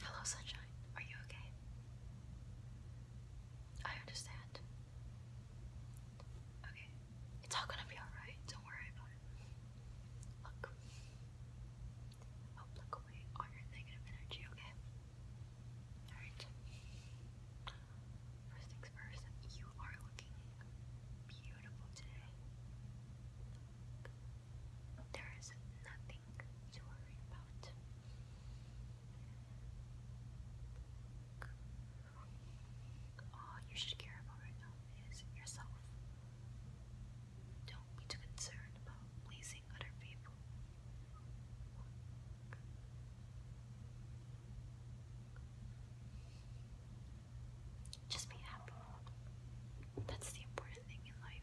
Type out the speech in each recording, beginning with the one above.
Hello, sunshine. Are you okay? I understand. Okay. It's all gonna be alright. Don't worry about it. Look. i look away all your negative energy, okay? Alright. First things first, you are looking beautiful today. There is nothing nothing you are scared about right now is yourself. Don't be too concerned about pleasing other people. Just be happy. That's the important thing in life.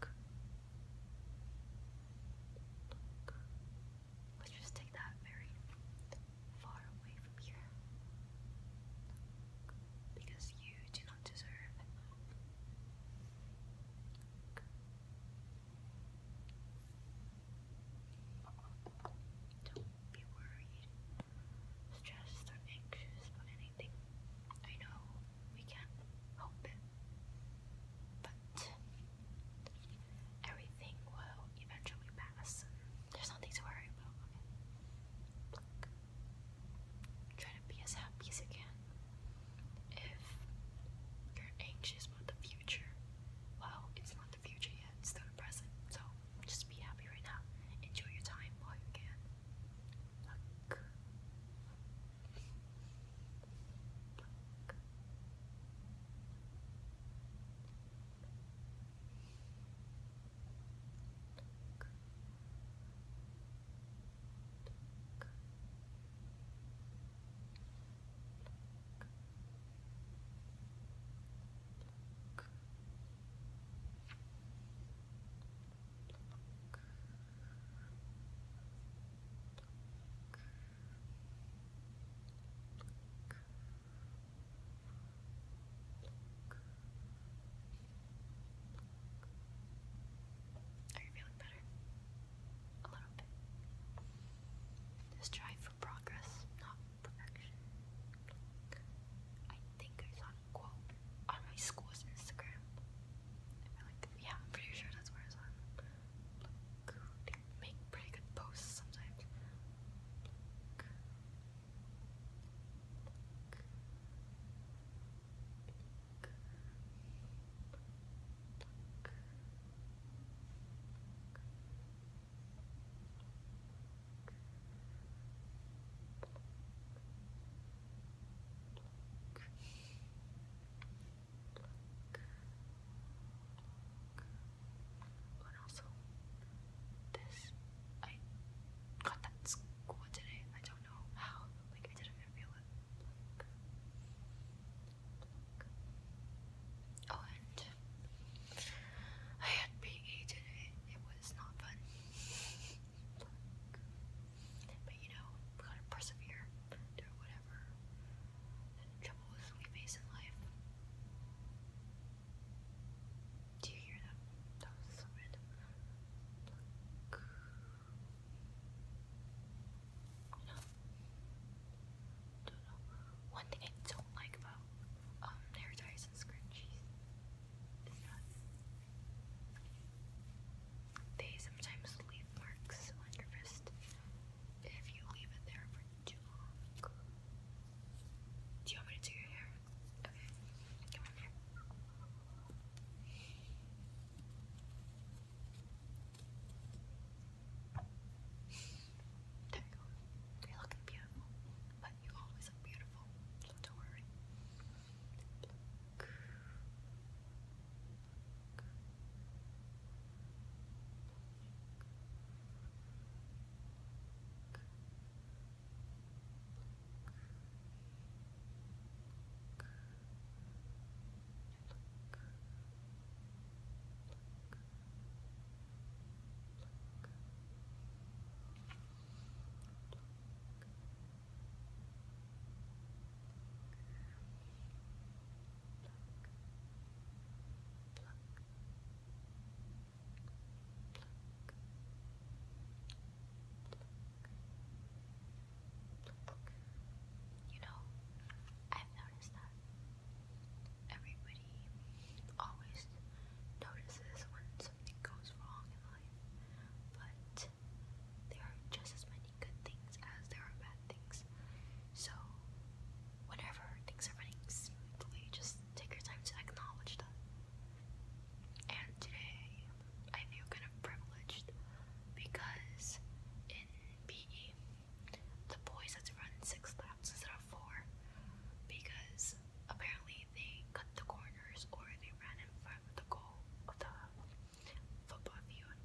Look. Let's just take that very far away from here. Because you do not deserve Don't be worried stressed or anxious about anything. I know we can hope it, but everything will eventually pass. There's nothing to worry about. Try to be as happy as you can. If you're anxious about the future, well, it's not the future yet, it's the present, so just be happy right now. Enjoy your time while you can. Are you feeling better? A little bit. Just try progress, not perfection. I think I saw a quote on my school's Instagram. yeah, I'm pretty sure that's where I saw it. make pretty good posts sometimes. And also, this I got that in today. I don't know how. Like I didn't feel it. Oh, and I had PE today. It was not fun. But you know, gotta persevere through whatever troubles we face in life. Do you hear that? That was so random. You know, do One thing I don't like about um, hair ties and scrunchies they sometimes leave marks on your wrist if you leave it there for too long. Do you want me to do your hair? There you go. You're beautiful, but you always look beautiful, so don't worry. You know, I've noticed that everybody always notices when something goes wrong in life, but there are just as many good things as there are bad things. So, whenever things are running smoothly, just take your time to acknowledge that. And today, I feel kind of privileged because in the boys had to run six laps instead of four because apparently they cut the corners or they ran in front of the goal of the football field.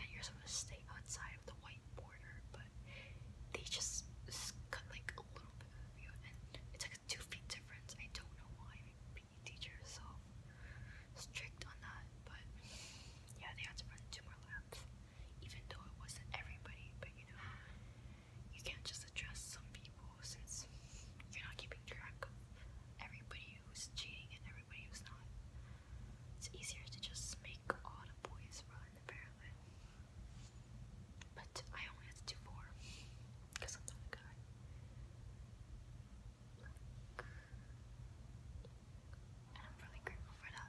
And you're supposed to stay outside of the white border, but they just cut like a little bit of the field, and it's like a two feet difference. I don't know why. PE teacher so strict on that, but yeah, they had to run two more laps, even though it wasn't everybody, but you know, you can't just address some people since you're not keeping track of everybody who's cheating and everybody who's not. It's easier to just make all the boys run apparently. But I only had to do four because I'm not a guy. And I'm really grateful for that.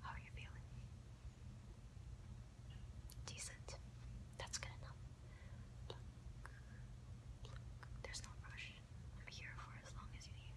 How are you feeling? Decent. That's good enough. There's no rush. I'm here for as long as you need.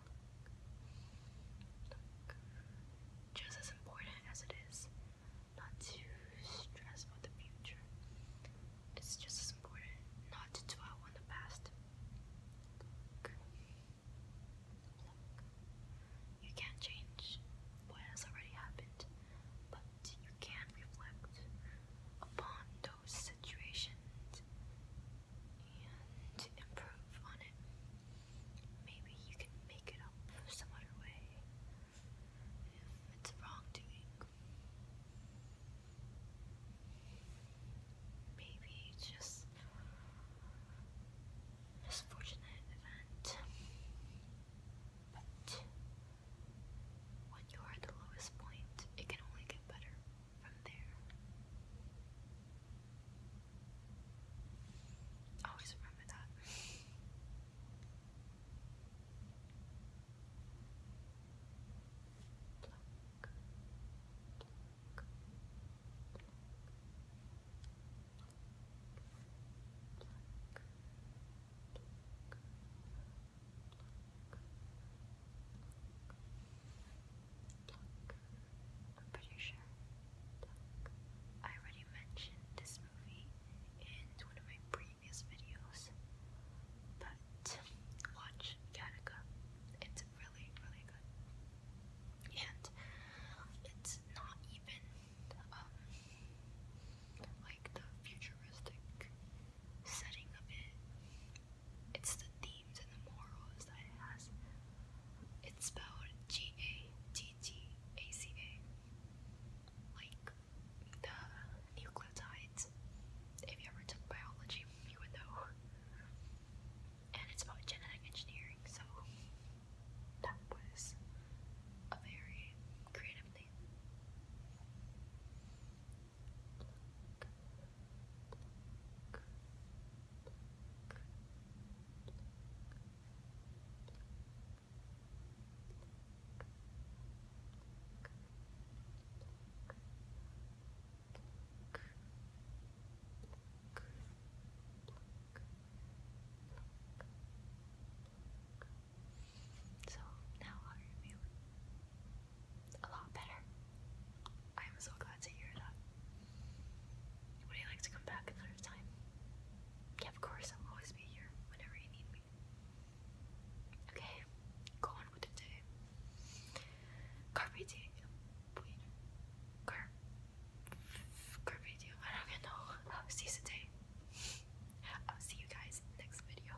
Just as important as it is not to stress about the future, it's just as important not to dwell on the past. You can't change what has already happened, but you can reflect upon those situations and improve on it maybe you can make it up some other way it's wrongdoing. Maybe just misfortunate event. But when you're at the lowest point, it can only get better from there. Always remember that. I'm pretty sure. I already mentioned this movie in one of my previous videos, but watch Gattaca. It's really, really good. And it's not even um, like the futuristic setting of it it's the themes and the morals that it has. It's spelled G A T T A C A. Like the nucleotides. If you ever took biology, you would know. And it's about genetic engineering, so that was a very creative thing. So now how are you feeling? a lot better. I am so glad to hear that. Would you like to come back another time? Yeah, of course, I'll always be here whenever you need me. Okay, go on with the day. Carpe diem. Wait. Car. Carpe diem. I don't know. I'll seize the day. I'll see you guys next video.